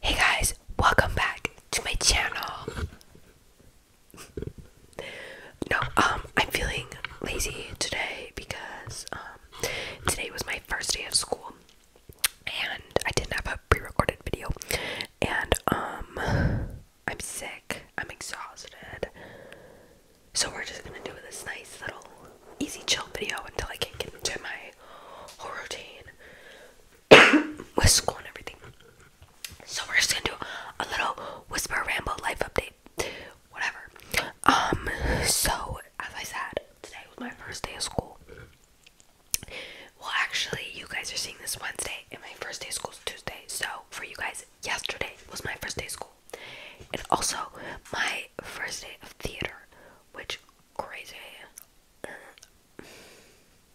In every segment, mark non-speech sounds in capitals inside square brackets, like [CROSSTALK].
Hey guys, welcome back to my channel. no, um, I'm feeling lazy today because um, today was my first day of school and I didn't have a pre-recorded video and um I'm sick. I'm exhausted. So we're just gonna do this nice little easy chill video until I can get into my whole routine [COUGHS] with school and everything. So we're just gonna do a little whisper ramble life update. Whatever. Um so as I said, today was my first day of school. Well, actually, you guys are seeing this Wednesday, and my first day of school is Tuesday. So, for you guys, yesterday was my first day of school. And also, my first day of theater, which crazy. I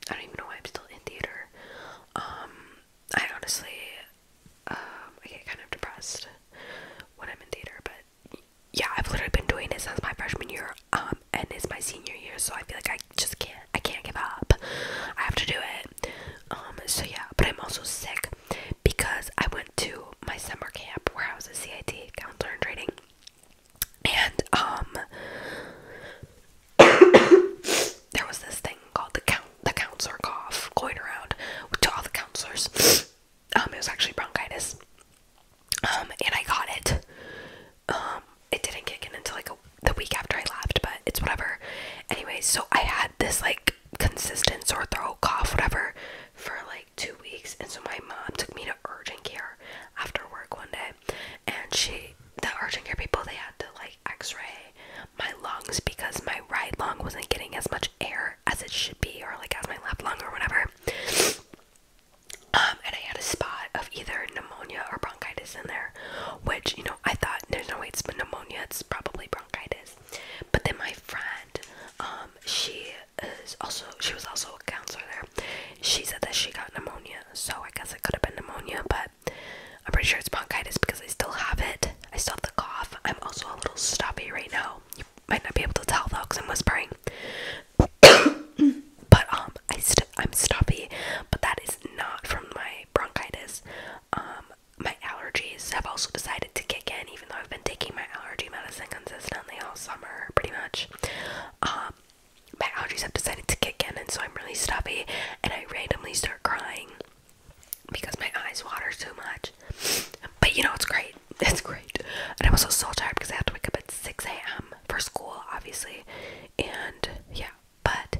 don't even know why I'm still in theater. Um, I honestly, um, I get kind of depressed when I'm in theater, but yeah, I've literally been doing it since my freshman year. Um, and it's my senior year, so I feel like I just can't. I can't give up. I have to do it. Um, so yeah, but I'm also sick because I went to my summer camp where I was a CIT counselor training, and um, [COUGHS] there was this thing called the count the counselor cough going around to all the counselors. [COUGHS] Um, it was actually bronchitis. Um, and I got it. Um, it didn't kick in until like the week after I left, but it's whatever. Anyways, so I had this like consistent sore throat, cough, whatever, for like two weeks, and so my mom took me to urgent care after work one day, and she, the urgent care people, they had to like X-ray my lungs because my right lung wasn't getting as much air as it should be, or like as my left lung or whatever. Um, and I had a spot of either pneumonia or bronchitis in there, which, you know, I thought there's no way it's pneumonia, it's probably bronchitis. But then my friend, um, she is also, she was also a counselor there. She said that she got pneumonia, so I guess it could have been pneumonia, but I'm pretty sure it's bronchitis because I still have it. I still have the cough. I'm also a little stuffy right now. You might not be able to tell though I'm whispering. [COUGHS] but um, I st I'm stuffy, but that is not from my bronchitis. Um, my allergies have also decided to kick in, even though I've been taking my allergy medicine consistently all summer, pretty much. Um, my allergies have decided to kick in, and so I'm really stuffy, and I randomly start crying because my eyes water so much. But you know, it's great. [LAUGHS] It's great. And I'm also so tired because I have to wake up at 6 a.m. for school, obviously and yeah, but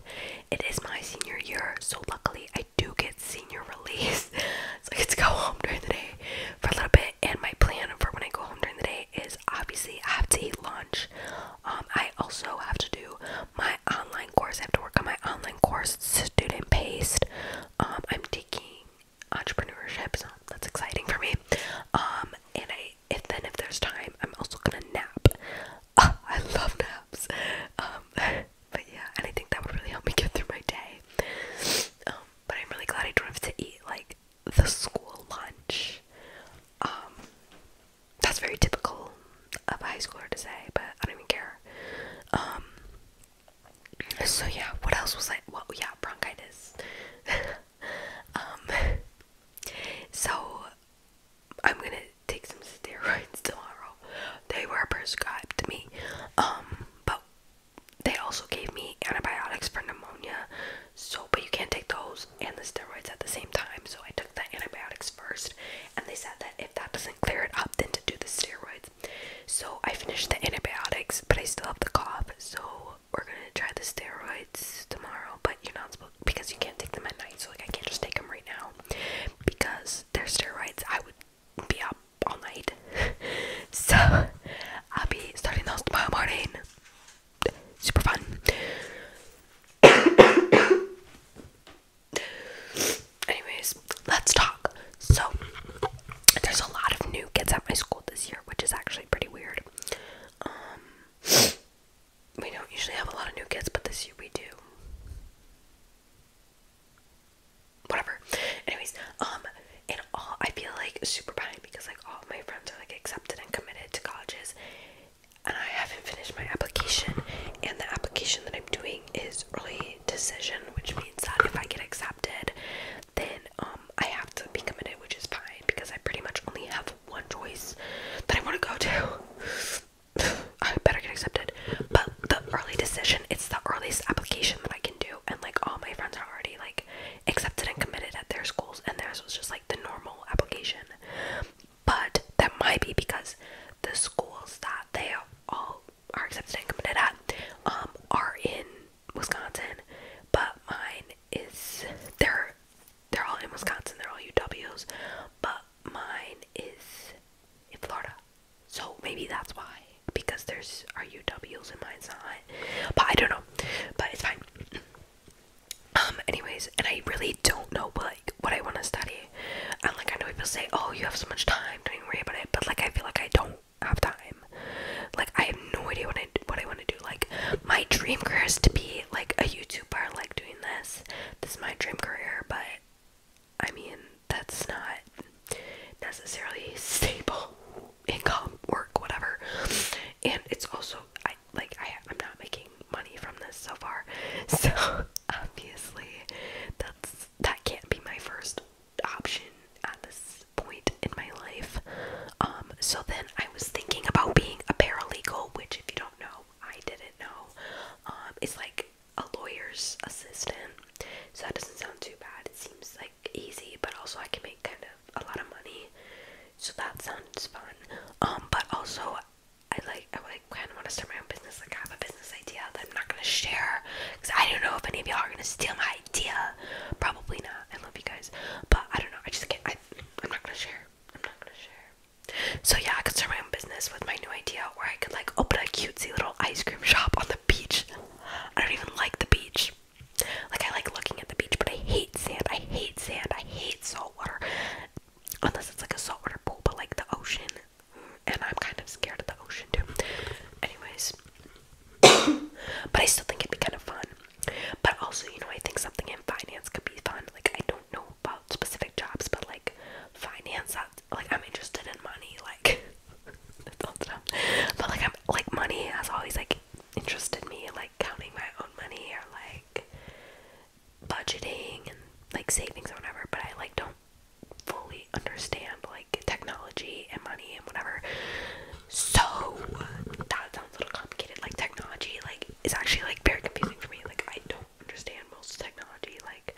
it is my senior year, so luckily I do get senior [LAUGHS] release. so I get to go home during the day for a little bit, and my plan for when I go home during the day is obviously I have to eat lunch. Um, I also have to do my online course. I have to work on my online course, student paced. Um, I'm taking entrepreneurship, so that's exciting for me. Um, and I if then if there's time, I'm also gonna nap. Ah, I love naps. Um, [LAUGHS] but yeah, and I think that would really help me get through my day. Um, but I'm really glad I don't have to eat like the school lunch. Um, that's very typical of a high schooler to say, but I don't even care. so yeah, what else was I? Well, yeah, bronchitis. [LAUGHS] Um, so I'm gonna take some steroids [LAUGHS] tomorrow. They were prescribed to me, um, but they also gave me antibiotics for pneumonia. So, but you can't take those and the steroids at the same time. So I took the antibiotics first, and they said that if that doesn't clear it up, then to do the steroids. So I finished the antibiotics, but I still have the cough. So we're gonna try the steroids tomorrow, but you're not supposed because you can't take them at night. So like I can't just take them right now because they're steroids. I would be up all night, [LAUGHS] so I'll be starting those tomorrow morning. Super fun. [COUGHS] Anyways, let's talk. So, there's a lot of new kids at my school this year, which is actually pretty weird. Um, we don't usually have a lot of new kids, but this year we do. Whatever. Anyways, um, and all I feel like super behind because like all my friends are like accepted and committed to colleges, and I haven't finished my application. And the application that I'm doing is early decision, which means that if I get accepted, then um I have to be committed, which is fine because I pretty much only have one choice that I want to go to. [SIGHS] I better get accepted. But the early decision, it's the earliest application that I can do, and like all my friends are already like accepted and committed at their schools, and theirs was just like the normal application. But that might be because the schools that they all are accepted and committed at um, are in Wisconsin, but mine is they're they're all in Wisconsin, they're all UWs, but mine is in Florida. So maybe that's why. Because there's our UWs and mine's not. But I don't know. But it's fine. Um, anyways, and I really don't know like what I want to study. And like I know people say, Oh, you have so much time, don't worry about it, but like I feel like I don't have time. Like I have no idea what I what I want to do. Like my dream career is to be like a YouTuber, like doing this. This is my dream career, but I mean that's not necessarily [LAUGHS] stable income, work, whatever. And it's also I like I I'm not making money from this so far, [LAUGHS] so obviously that's that can't be my first option at this point in my life. Um, so then I was thinking about being a paralegal, which, if you don't know, I didn't know. Um, it's like a lawyer's assistant, so that doesn't sound too bad. It seems like easy, but also I can make kind of a lot of money, so that sounds fun. Um, but also I like I like kind of want to start my own business. Like I have a business idea that I'm not gonna share because I don't know if any of y'all are gonna steal my idea. Probably not love you guys. But I don't know. I just can't. I, I'm not gonna I'm not gonna share. So yeah, I could start my own business with my new idea, where I could like open a cutesy little ice cream shop on the beach. I don't even like the beach. Like I like looking at the beach, but I hate sand. I hate sand. I hate salt water. Unless it's like a saltwater pool, but like the ocean, and I'm kind of scared of the ocean too. Anyways, [COUGHS] but I still think it'd be kind of fun. But also, you know, I think something in finance could be fun. Like, I don't know about specific jobs, but like finance, that's, like I'm interested in money. Like, [LAUGHS] but like I'm like money has always like interested me. Like counting my own money or like budgeting and like savings or whatever. But I like don't fully understand like technology and money and whatever. So that sounds a little complicated. Like technology, like is actually like very confusing for me. Like I don't understand most technology. Like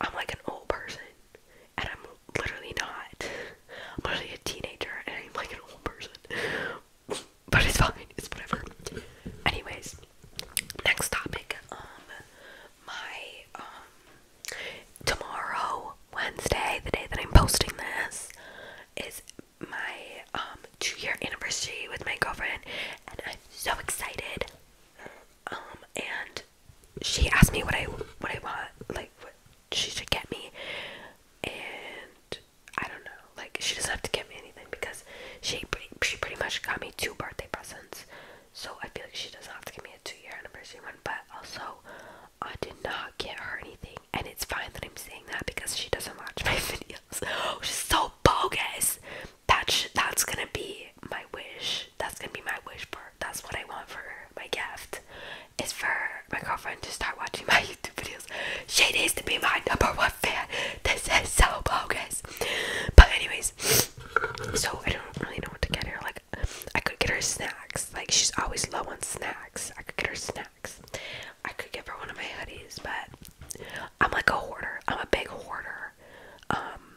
I'm like an old person, and I'm literally not. I'm literally a teenager, and I'm like an old person. But it's fine. It's whatever. Anyways, next topic. Um, my um, tomorrow, Wednesday, the day that I'm posting this, is my um two year anniversary with my girlfriend and I'm so excited. Um and she asked me what I what I want, like what she should get me. And I don't know, like she doesn't have to get me anything because she she pretty much got me two birthday presents. So I feel like she doesn't have to give me a two year anniversary one, but also I did not get her anything, and it's fine that I'm saying that because she doesn't watch [LAUGHS] my videos. Oh, she's so bogus. That sh that's gonna be my wish. That's gonna be my wish for. That's what I want for her. my gift. Is for my girlfriend to start watching [LAUGHS] my YouTube videos. She needs to be my number one fan. This is so bogus. But anyways, [SNIFFS] so I don't really know what to get her. Like I could get her snacks. Like she's always low on snacks. I could get her snacks. I could give her one of my hoodies, but I'm like a hoarder. I'm a big hoarder. Um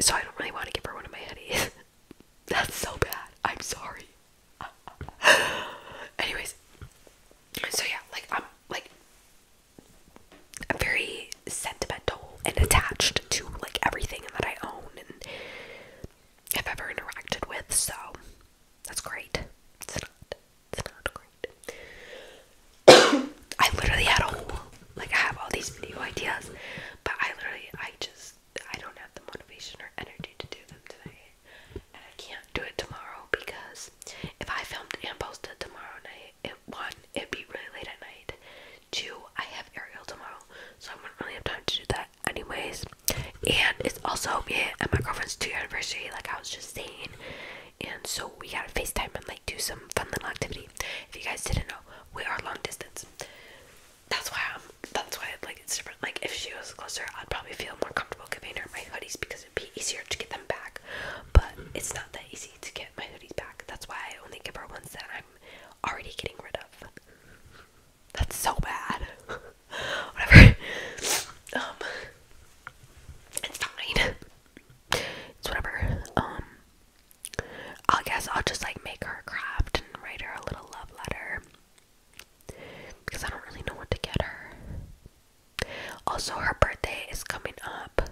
so I don't really want to give her one of my hoodies. [LAUGHS] That's so bad. I'm sorry. [LAUGHS] Anyways, so yeah, like I'm like i very sentimental and attached to like everything that I own and I've ever interacted with, so that's great. It's not, it's not great. [COUGHS] I literally had a like I have all these video ideas, but I literally, I just, I don't have the motivation or energy to do them today. And I can't do it tomorrow because if I filmed and posted tomorrow night, it one, it'd be really late at night. Two, I have Ariel tomorrow, so I wouldn't really have time to do that anyways and it's also me and my girlfriend's two year anniversary like i was just saying and so we gotta facetime and like do some fun little activity if you guys didn't know we are long distance that's why i'm that's why like it's different like if she was closer i'd probably feel more comfortable giving her my hoodies because it'd be easier to get them back but it's not that easy to get my hoodies back that's why i only give her ones that i'm already getting rid of that's so bad. [LAUGHS] Whatever. Um, it's fine. It's whatever. Um, I guess I'll just like make her a craft and write her a little love letter because I don't really know what to get her. Also, her birthday is coming up,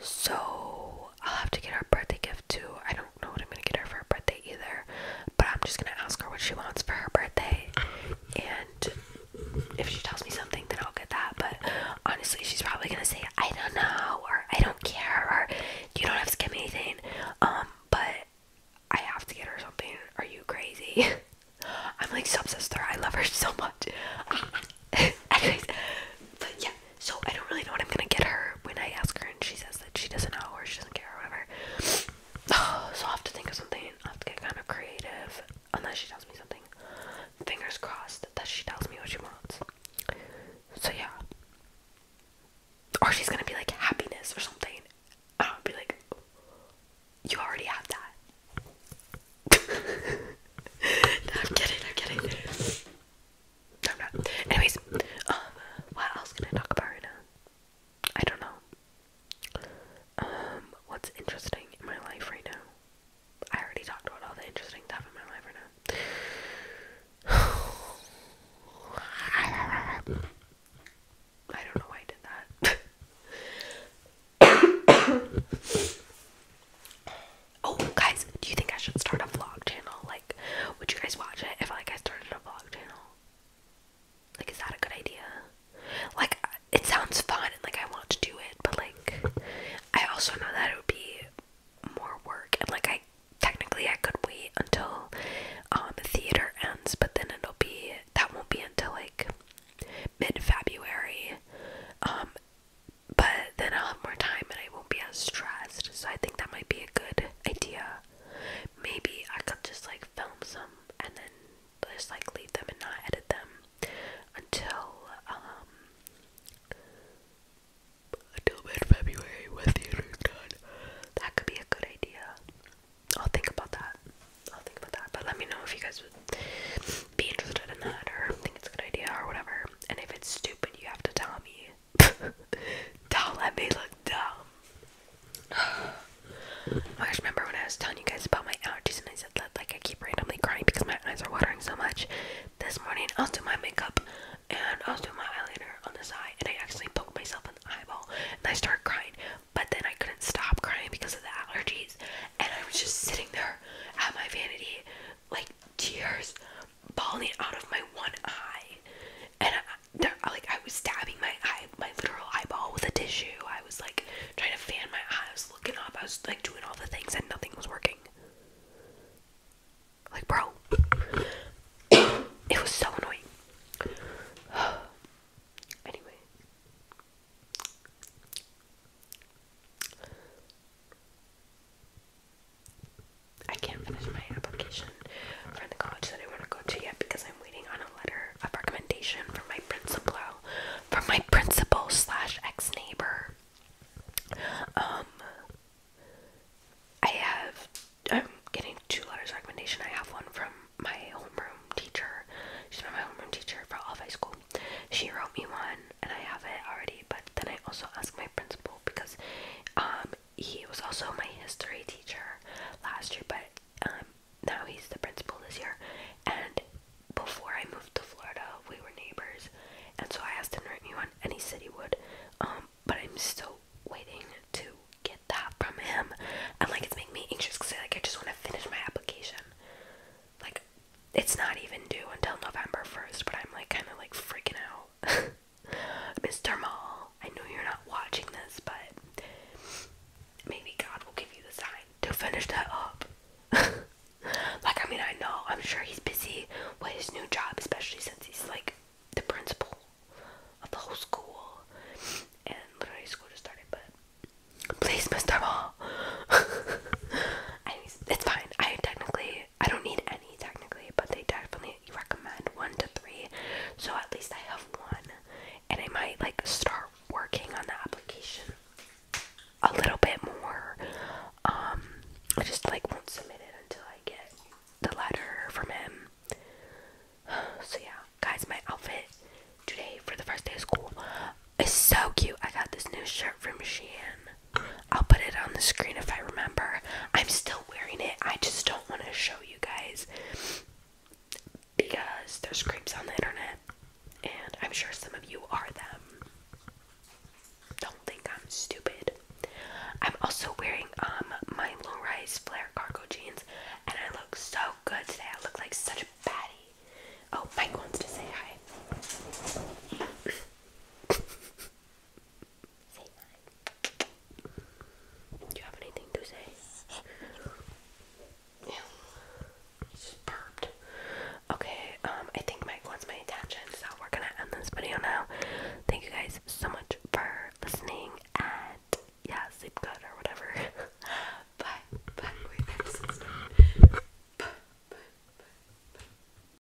so I'll have to get her birthday gift too. I don't don't know what I'm gonna get her for her birthday either, but I'm just gonna ask her what she wants for her birthday. And if she tells me something, then I'll get that. But honestly, she's probably gonna say, I don't know, or I don't care, or you don't have to give me anything. Um, but I have to get her something. Are you crazy? [LAUGHS] I'm like so obsessed I love her so much. [LAUGHS] Anyways, but yeah, so I don't really know what I'm gonna get her when I ask her and she says that she doesn't know or she doesn't care or whatever. [SIGHS] so I'll have to think of something. I'll have to get kind of creative. Unless she tells me something. Fingers crossed that she tells me what she wants. So yeah. Or she's gonna be like happiness or something. And I'll be like, you already have that. [LAUGHS] no, I'm kidding, I'm kidding. Anyways, uh, what else can I talk about right now? I don't know. Um, what's interesting in my life right now? I already talked about all the interesting stuff in my life right now. [SIGHS] I don't know why I did that. [COUGHS] oh, guys, do you think I should start a vlog channel? Like, would you guys watch it if like I started a vlog channel? Like, is that a good idea? Like, it sounds fun and like I want to do it, but like, I also know that it would be more work and like I technically I could wait until um theater ends, but then it'll be that won't be until like mid February. Um, but then I'll have more time and I won't be as stressed. So I think that might be a good idea. Maybe I could just like film some and then just like leave them and not edit them until um, until mid February when theater's done. That could be a good idea. I'll think about that. I'll think about that. But let me know if you guys would be interested in that or think it's a good idea or whatever. And if it's stupid, you have to tell me. [LAUGHS] Don't let me look dumb. [SIGHS] I just remember when I was telling you guys about my allergies and I said that like I keep randomly crying because my eyes are watering so much. This morning I was doing my makeup and I was doing my eyeliner on this eye and I actually poked myself in the eyeball and I started crying. But then I couldn't stop crying because of the allergies and I was just sitting there at my vanity like tears falling out of my one eye, and I, like I was stabbing my eye, my literal eyeball with a tissue. I was like trying to fan my eyes, I was looking up. I was like doing all the things, and nothing was working. Like, bro, [COUGHS] it was so annoying. [SIGHS] anyway. I can't finish my application for the college that I want to go to yet because I'm waiting on a letter of recommendation from my principal, from my principal slash ex neighbor. Um, I have I'm getting two letters of recommendation. I have one from my homeroom teacher. She's my homeroom teacher for all of high school. She wrote me one, and I have it already. But then I also asked my principal because um he was also my history teacher last year, but um, now he's the principal this year. And before I moved to Florida, we were neighbors, and so I asked him to write me one, and he said he would. Um, but I'm still waiting to get that from him, and like it's making me anxious because I, like I just want to finish my application. Like it's not even due until November first, but I'm like kind of like freaking out. [LAUGHS] Mr. Mall, I know you're not watching this, but maybe God will give you the sign to finish that up. [LAUGHS] like, I mean, I know, I'm sure he's busy with his new job, especially since he's like the principal of the whole school. And literally, school just started, but please, Mr. Mall. [LAUGHS] Anyways, it's fine. I technically I don't need any technically, but they definitely recommend one to three. So at least I have one, and I might like start working on the application a little bit more. Um, I just like won't submit it until I get the letter from him. [SIGHS] So yeah, guys, my outfit today for the first day of school is so cute. I got this new shirt from Shein. I'll put it on the screen if I remember. I'm still wearing it. I just don't want to show you guys because there's creeps on the internet, and I'm sure some of you are them. Don't think I'm stupid. I'm also wearing um my low-rise flare cargo jeans, and I look so good today. I look like such a baddie. Oh, Mike wants to say hi. [LAUGHS] Do you have anything to say? Yeah. Okay, um, I think Mike wants my attention, so we're gonna end this video now. Thank you guys so much for listening, and yeah, sleep good or whatever. bye. Bye. Wait, that's so Bye. Bye. Bye. Bye.